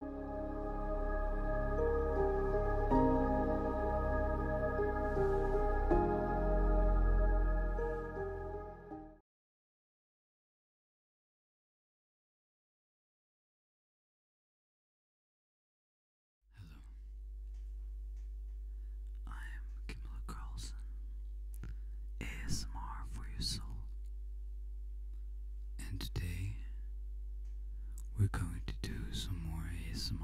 Hello, I am Kimla Carlson, ASMR for your soul and today we're going to do some more ASMR.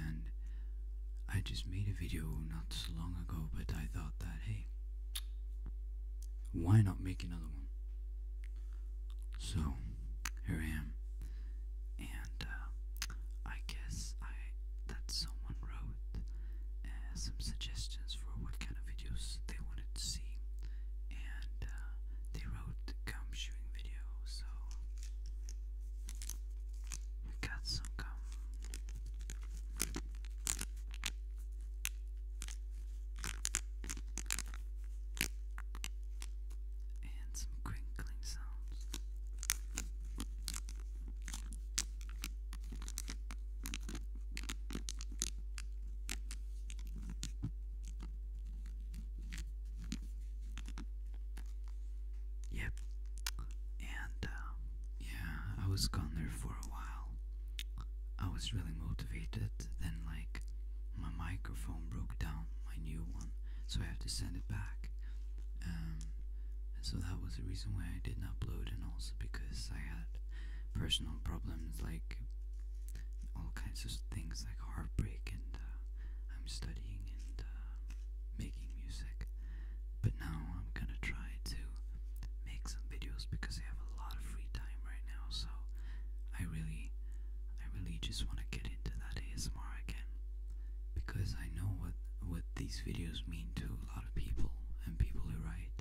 And I just made a video not so long ago, but I thought that hey, why not make another one? So here I am, and uh, I guess I that someone wrote uh, some suggestions for what kind of they wanted to see, and uh, they wrote gum chewing video, so we got some gum. And some crinkling sounds. Yep. And uh, yeah, I was gone there for a while. I was really motivated. Then, like, my microphone broke down, my new one, so I have to send it back. Um, so that was the reason why I didn't upload, and also because I had personal problems like all kinds of things like heartbreak and uh, I'm studying and uh, making music but now I'm gonna try to make some videos because I have a lot of free time right now so I really I really just want to get into that ASMR again because I know what what these videos mean to a lot of people and people who write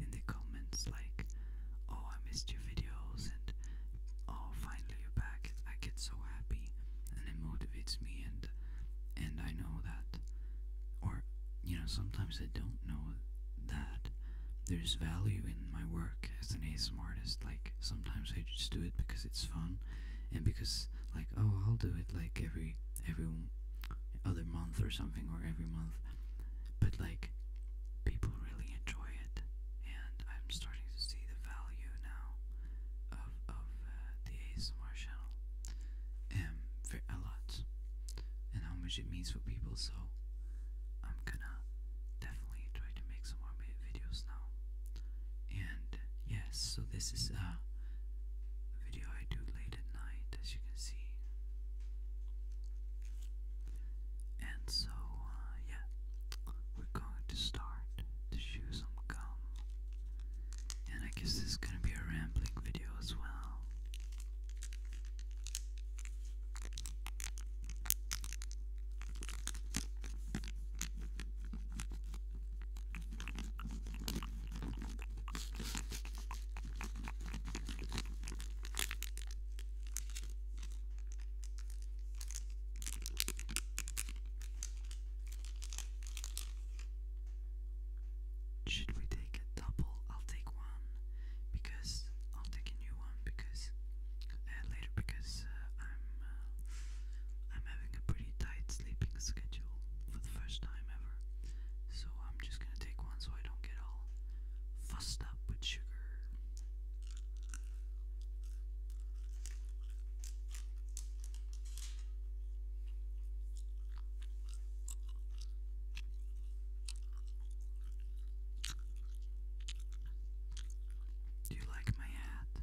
in the comments like, "Oh, I missed your videos," and "Oh, finally you're back." I get so happy, and it motivates me, and and I know that, or you know, sometimes I don't know that there's value in my work as an ASM artist. Like sometimes I just do it because it's fun, and because like, oh, I'll do it like every every other month or something or every month but like people really enjoy it, and I'm starting to see the value now of of uh, the ASMR channel, um, for a lot, and how much it means for people. So I'm gonna definitely try to make some more videos now. And yes, so this is a video I do later at night, as you can see. And so, uh, yeah, we're going to start to chew some gum. And I guess this is gonna be a rambling video as well. Should we take a double? I'll take one because I'll take a new one because uh, later because uh, I'm uh, I'm having a pretty tight sleeping schedule for the first time ever. So I'm just gonna take one so I don't get all fussed up with sugar. Do you like my hat?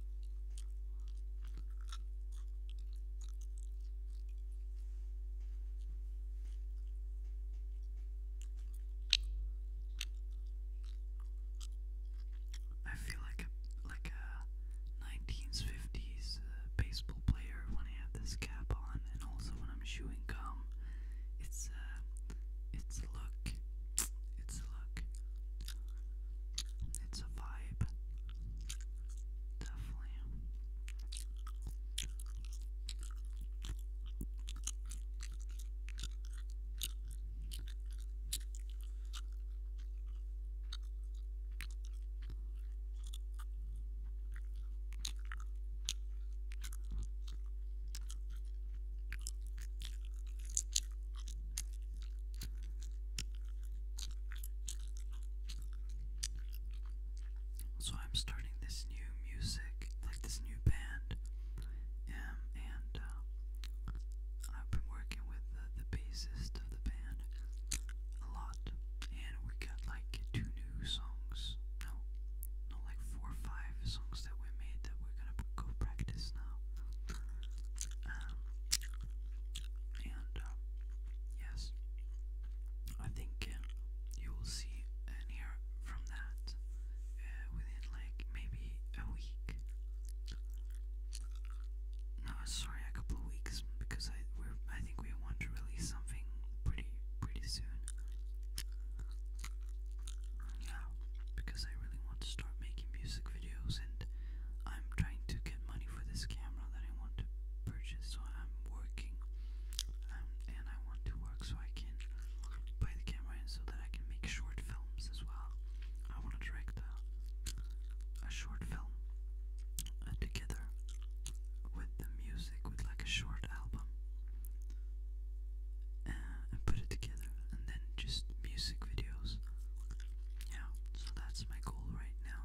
I feel like a like a 1950s uh, baseball player when I have this cap on, and also when I'm chewing gum. It's uh, it's a look, it's a look, it's a vibe. Definitely. So I'm starting this new music, like this new band, um, and uh, I've been working with the, bassist of the band a lot, and we got like two new songs, no, no, like four five songs that we made that we're gonna go practice now. Um, and uh, yes, I think uh, you will see and hear from that uh, within like maybe a week. No, sorry, a couple weeks because I we I think we want to release something pretty pretty soon. Yeah, because I really want to start making music videos and I'm trying to get money for this camera that I want to purchase so I'm working um, and I want to work so I can buy the camera so that I can make short films as well. I want to direct a, short film uh, together with the music with like a short album uh, and put it together and then just music videos yeah, so that's my goal right now.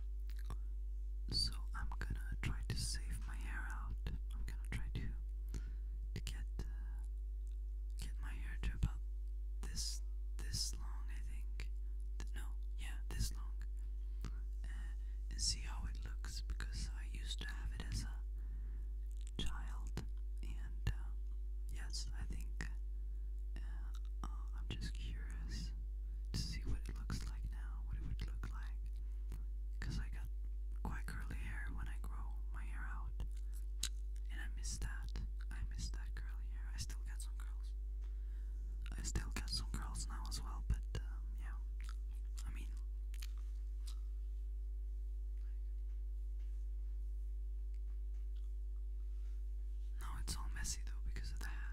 So I'm gonna try to save my hair out. I'm gonna try to to get uh, get my hair to about this this long, I think. no, yeah, this long. Uh, and see how it looks because I used to have it as a child, and uh, yes, I think. I'm just curious to see what it looks like now, what it would look like. I got quite curly hair when I grow my hair out. And I miss that. I miss that curly hair. I still got some curls. I still got some curls now as well, but um, yeah. I mean. Now it's all messy though because of the hat.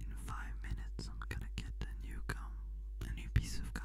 In five minutes, I'm gonna get a new gum, a new piece of gum.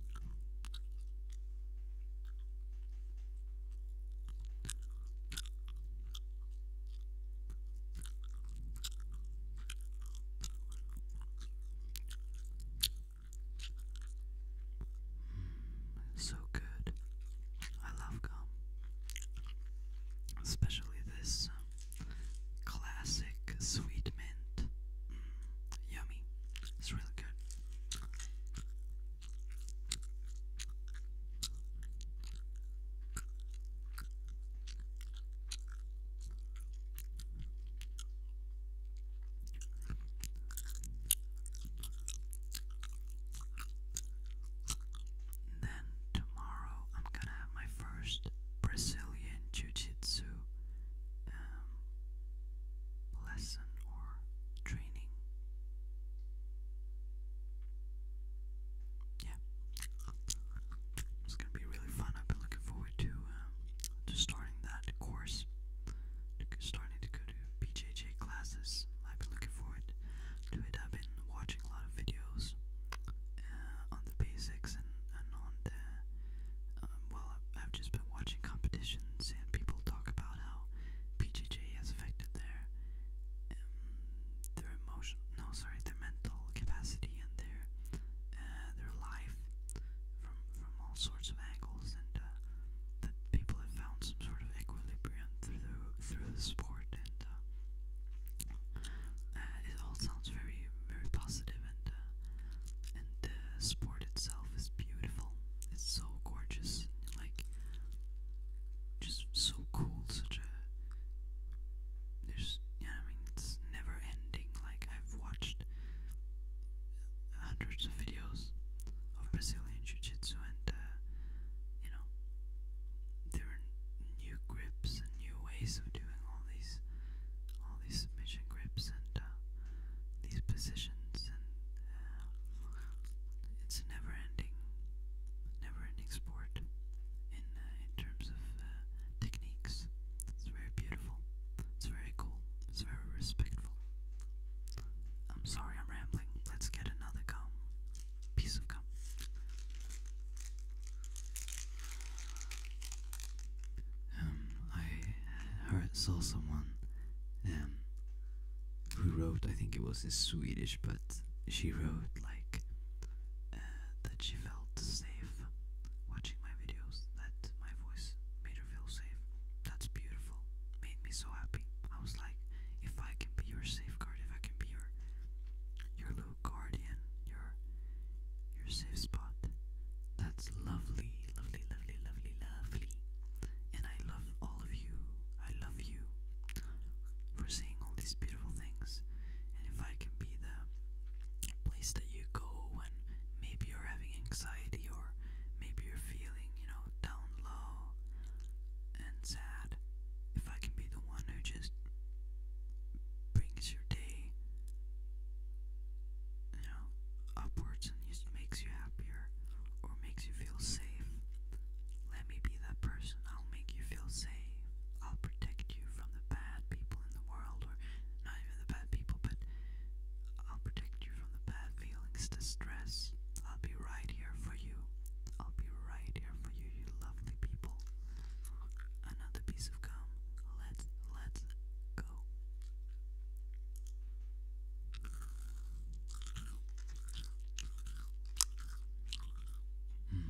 Mm, so good. I love gum. Especially this um, classic sweet mint. Mm, yummy. It's really good. then tomorrow I'm gonna have my first Brazilian Jiu Jitsu um, lesson or training. Yeah, it's gonna be really fun. I've been looking forward to um, to starting that course, to starting to go to BJJ classes. I've been looking forward to it. I've been watching a lot of videos uh, on on the basics and, and on the. Um, well, I've just been watching competitions and people talk about how PJJ has affected their um, their emotional, no, sorry, their mental capacity and their uh, their life from from all sorts of angles, and uh, that people have found some sort of equilibrium through through the sport, and uh, uh, it all sounds very very positive uh, and the sport itself is beautiful. It's so gorgeous. Like, just so cool. Such a. There's. Yeah, I mean, it's never ending. Like, I've watched hundreds of videos of Brazilian Jiu Jitsu and, uh, you know, there are new grips and new ways of doing all these these submission grips and uh, these positions, and uh, it's a never-ending, never-ending sport in uh, in terms of techniques. It's very beautiful. It's very cool. It's very respectful. I'm sorry, I'm rambling. Let's get another gum, piece of gum. Um, I heard, saw someone um, who wrote, I think it was in Swedish, but she wrote like uh, that she felt safe watching my videos, that my voice made her feel safe. That's beautiful, made me so happy. I was like, if I can be your safeguard, if I can be your your guardian, your your safe spot. That's lovely, lovely, lovely, lovely, lovely. And I love all of you. I love you for saying all these beautiful things. And if I can be the place that you go when maybe you're having anxiety or maybe you're feeling, you know, down low and sad, if I can be the one who just brings your day, you know, upwards and just makes you happier or makes you feel safe. Let me be that person. I'll make you feel safe. I'll protect you from the bad people in the world, or not even the bad people, but I'll protect you from the bad feelings, distress. I'll be right here for you. I'll be right here for you, you lovely people. Another piece of gum. Let's let's go. Hmm.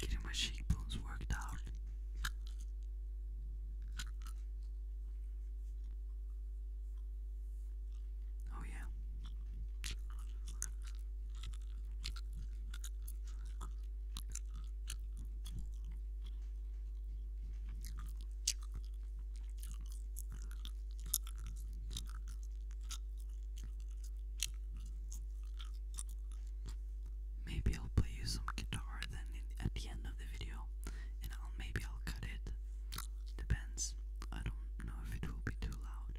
Getting my cheekbones worked out. Oh, yeah, Maybe I'll play you some guitar then at the end of the video, and I'll maybe I'll cut it. Depends. I don't know if it will be too too loud.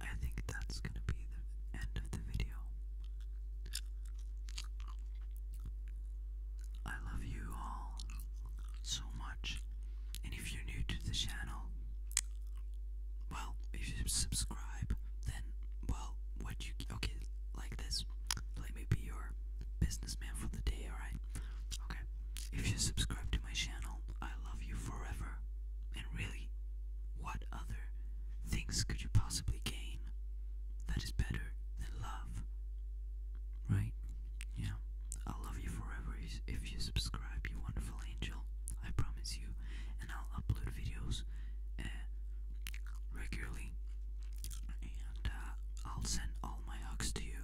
I think that's going to be the end of the video. I love you all so much. And if you're new to the channel, well, if you subscribe, then, well, what you. Okay, like this. Let me be your businessman for the day, alright? Okay. If you subscribe to my channel, I love you forever. And really, what other things could you possibly gain that is better than love? Right? Yeah. I'll love you forever if you subscribe, you wonderful angel. I promise you. And I'll upload videos eh, regularly. And uh, I'll send all my hugs to you,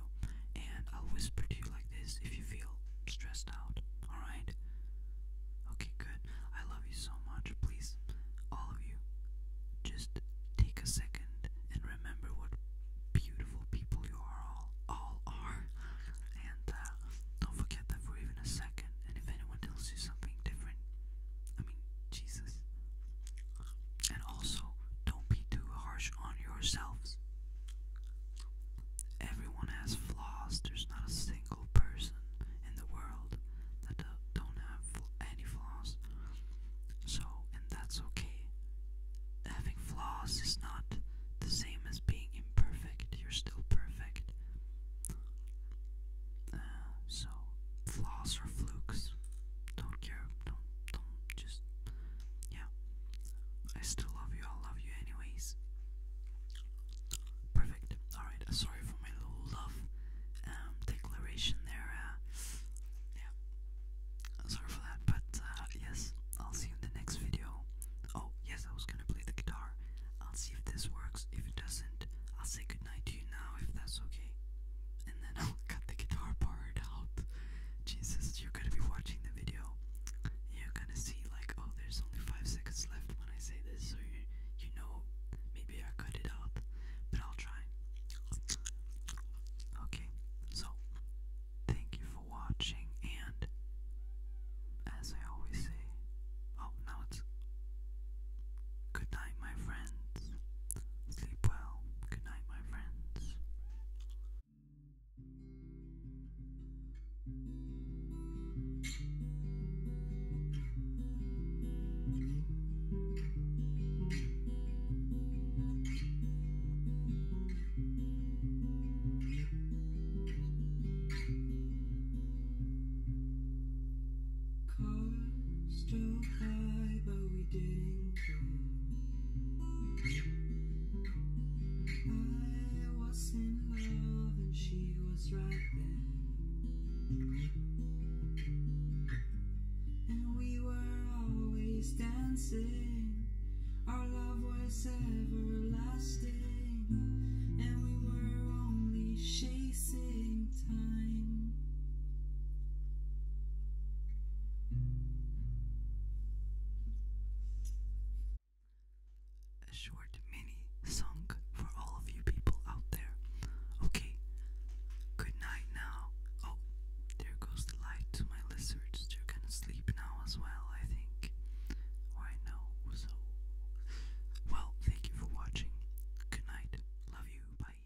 and I'll whisper to you like this if you feel stressed out. Alright? Okay, good. I love you so much. Please, all of you, just take a second and remember what beautiful people you are all, all are. And uh, don't forget that for even a second. And if anyone tells you something different, I mean, Jesus, and also, don't be too harsh on yourselves. Everyone has flaws. There's not a single person in the world that uh, don't have any flaws. So, and that's okay. Having flaws is not the same as being imperfect. You're still perfect. Uh, so, flaws are flukes. Don't care. Don't don't just yeah, I still love you. I love you anyways. Perfect. All right. Uh, sorry for my little love um, declaration there. Uh, yeah, uh, sorry for that. But yes, I'll see you in the next video. Oh yes, I was gonna play the guitar. I'll see if this works. If it doesn't, I'll say goodnight to you now if that's okay and then I'll cut the guitar part out. Jesus, you're gonna be watching the video. You're gonna see like, oh, there's only five seconds left when I say this, so you you know maybe I cut it out, but I'll try. Okay, so thank you for watching, and as I always say, oh now it's good my friend friends. Sleep well. Good night, my friends. Cars don't I was in love and she was right there. And we were always dancing, our love was everlasting, and we were only chasing time. A short mini song for all of you people out there. Okay, good night now. Oh, there goes the light to my lizards. They're gonna sleep now as well, I think. Oh, I know, so. Well, thank you for watching. Good night. Love you. Bye.